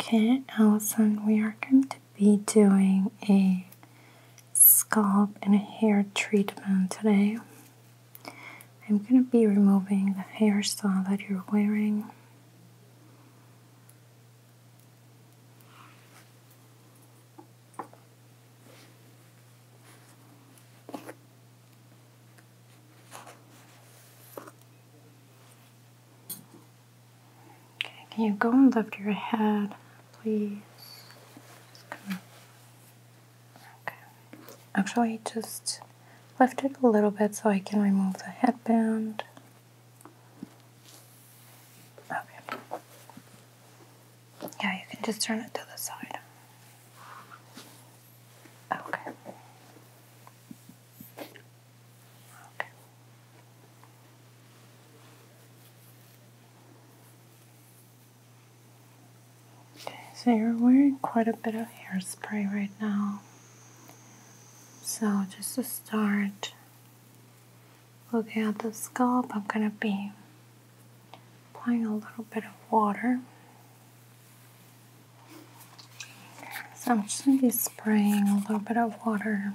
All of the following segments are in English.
Okay, Allison, we are going to be doing a scalp and hair treatment today. I'm going to be removing the hairstyle that you're wearing. Okay, can you go and lift your head, please? Okay. Actually, just lift it a little bit so I can remove the headband. Yeah, you can just turn it to the side. Okay. Okay. so you're wearing quite a bit of hairspray right now. So, just to start looking at the scalp, I'm going to be applying a little bit of water. So I'm just going to be spraying a little bit of water.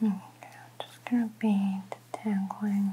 I'm just gonna be detangling.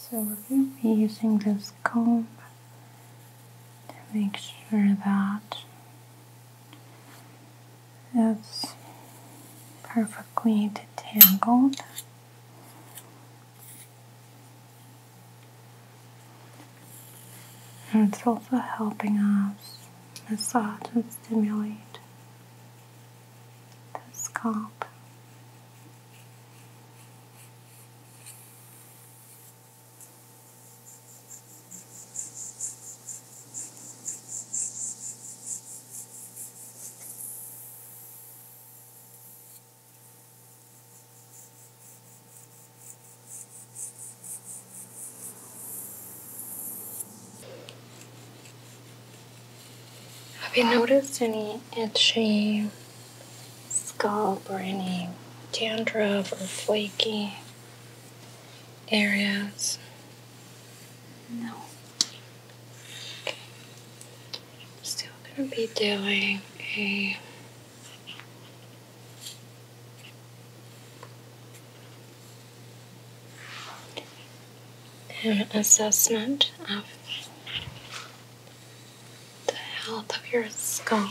So we're going to be using this comb to make sure that it's perfectly detangled. And it's also helping us massage and stimulate the scalp. Have you noticed any itchy scalp or any dandruff or flaky areas? No. Okay. still going to be doing a an assessment of the health of your skull.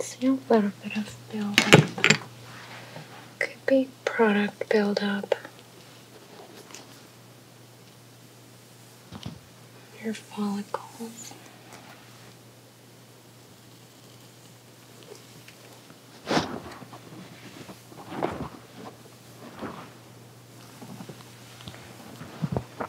see a little bit of buildup. Could be product buildup. Your follicles.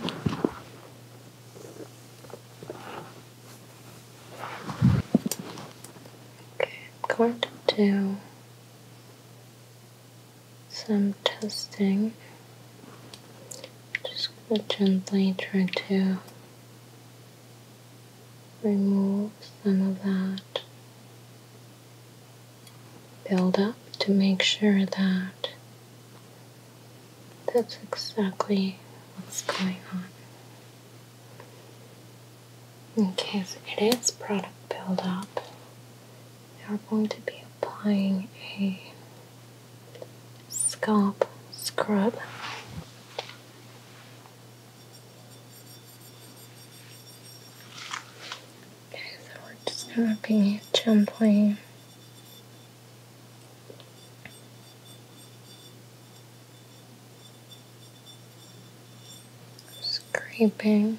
I'm going to do some testing. Just gently try to remove some of that build up to make sure that that's exactly what's going on. In case it is product buildup, we are going to be applying a scalp scrub. Okay, so we're just gonna be jumping, Scraping.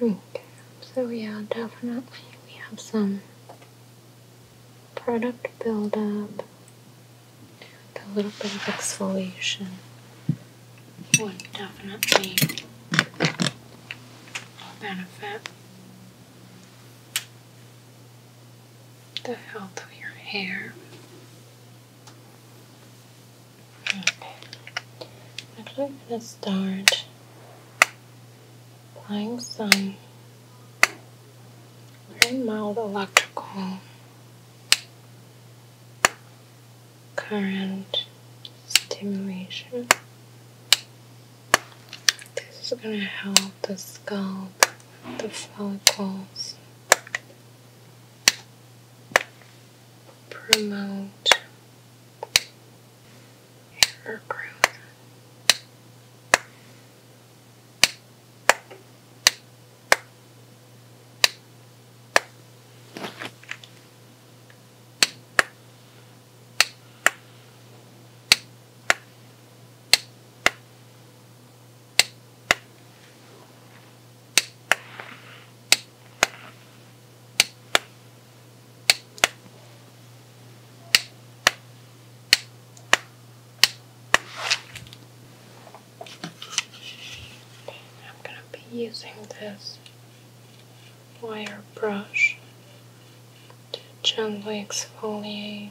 Okay, so yeah, definitely we have some product buildup a little bit of exfoliation would definitely benefit the health of your hair. Okay. I'm gonna start applying some very mild electrical current stimulation. This is gonna help the scalp, the follicles promote hair growth. I'm going to be using this wire brush to gently exfoliate.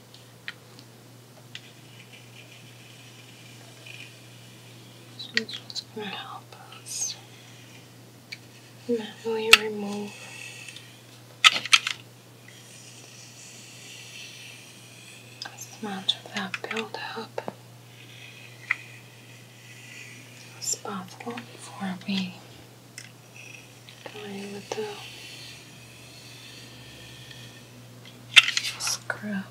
This is what's going to help us manually remove as much of that buildup as possible before we go the Scrub.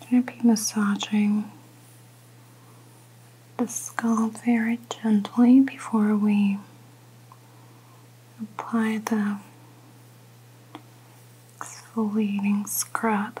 Gonna be massaging the scalp very gently before we apply the exfoliating scrub.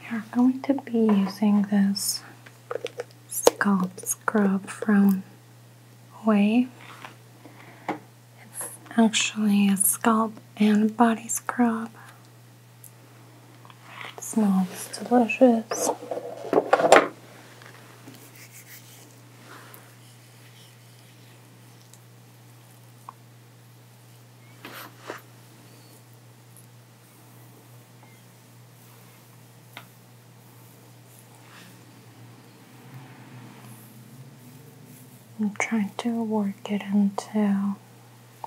We are going to be using this scalp scrub from Way. It's actually a scalp and body scrub. smells delicious. I'm trying to work it until it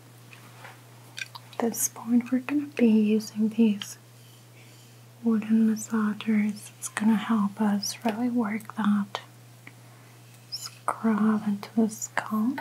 At this point we're going to be using these wooden massagers. It's going to help us really work that scrub into the scalp.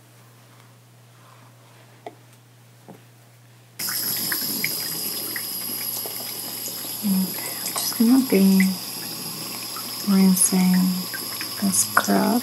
Okay, I'm just gonna be rinsing this crab.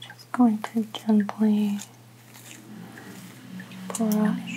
Just going to gently brush.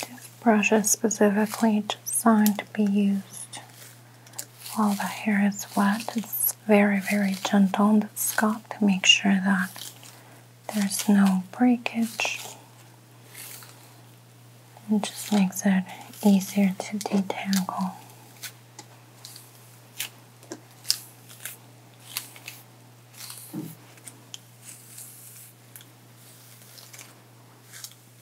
This brush is specifically designed to be used while the hair is wet. It's very, very gentle on the scalp to make sure that there's no breakage. and just makes it easier to detangle.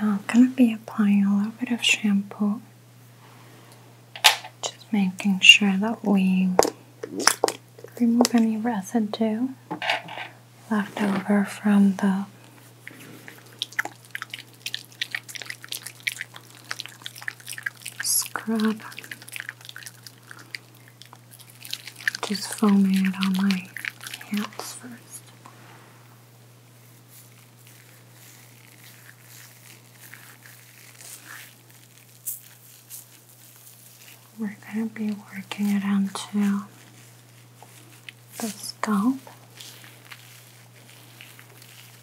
Now I'm gonna be applying a little bit of shampoo. Just making sure that we remove any residue left over from the scrub, just foaming it on my hands first. We're going to be working it onto the scalp.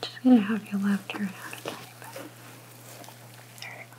Just gonna have your left turn out a tiny There you go.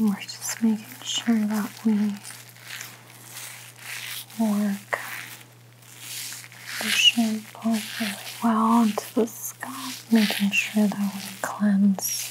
we're just making sure that we work the shampoo really well onto the scalp, making sure that we cleanse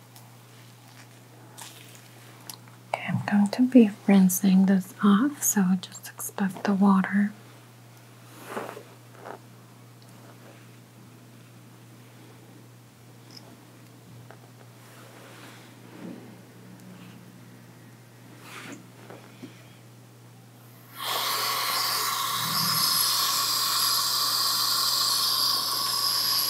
Okay, I'm going to be rinsing this off, so just expect the water.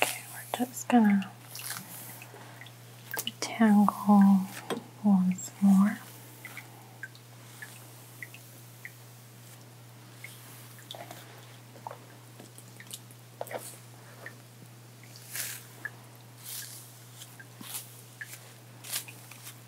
Okay, we're just gonna tangle once more.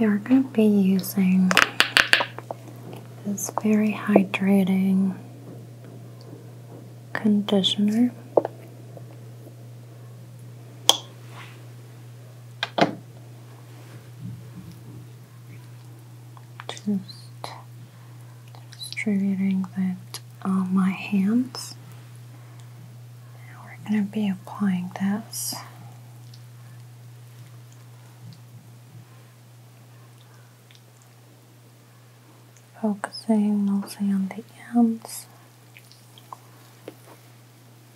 We are going to be using this very hydrating conditioner just distributing that on my hands. we're going to be applying this. Focusing mostly on the ends.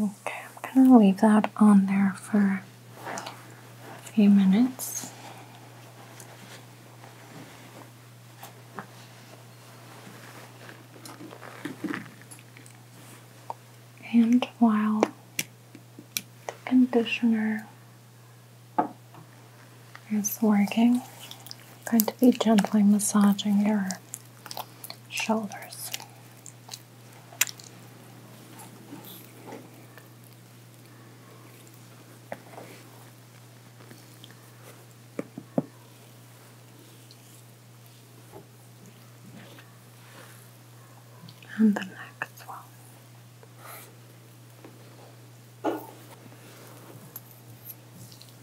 Okay, I'm going to leave that on there for a few minutes. And while the conditioner is working. going to be gently massaging your shoulders. And the next one.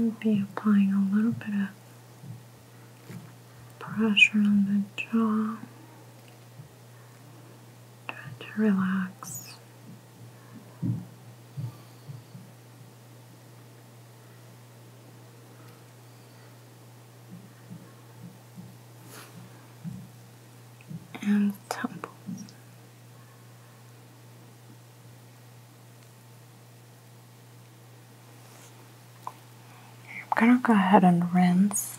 I'll be applying a little bit of pressure on the jaw. to relax and temples. I'm going to go ahead and rinse.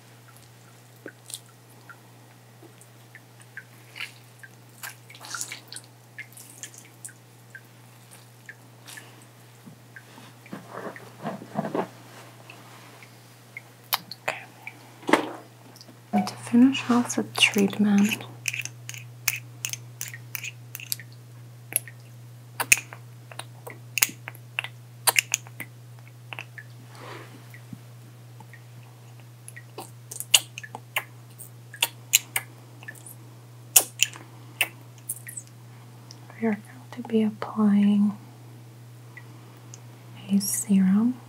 Okay. to finish off the treatment, we are going to be applying a serum.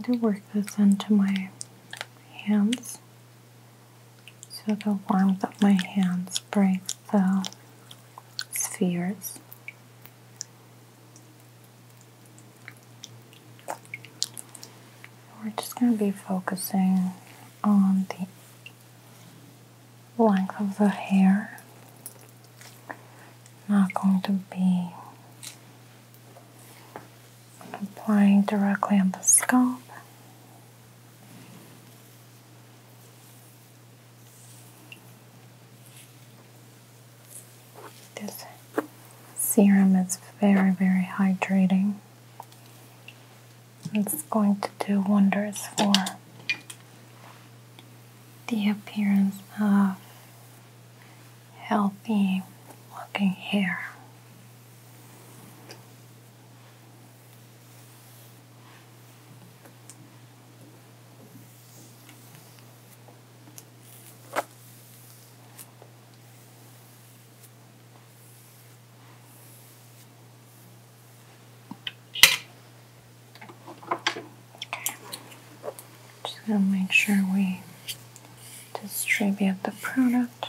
I to work this into my hands so the warmth of my hands breaks the spheres. We're just going to be focusing on the length of the hair. Not going to be applying directly on the scalp. This serum is very, very hydrating. It's going to do wonders for the appearance of healthy looking hair. Just gonna make sure we distribute the product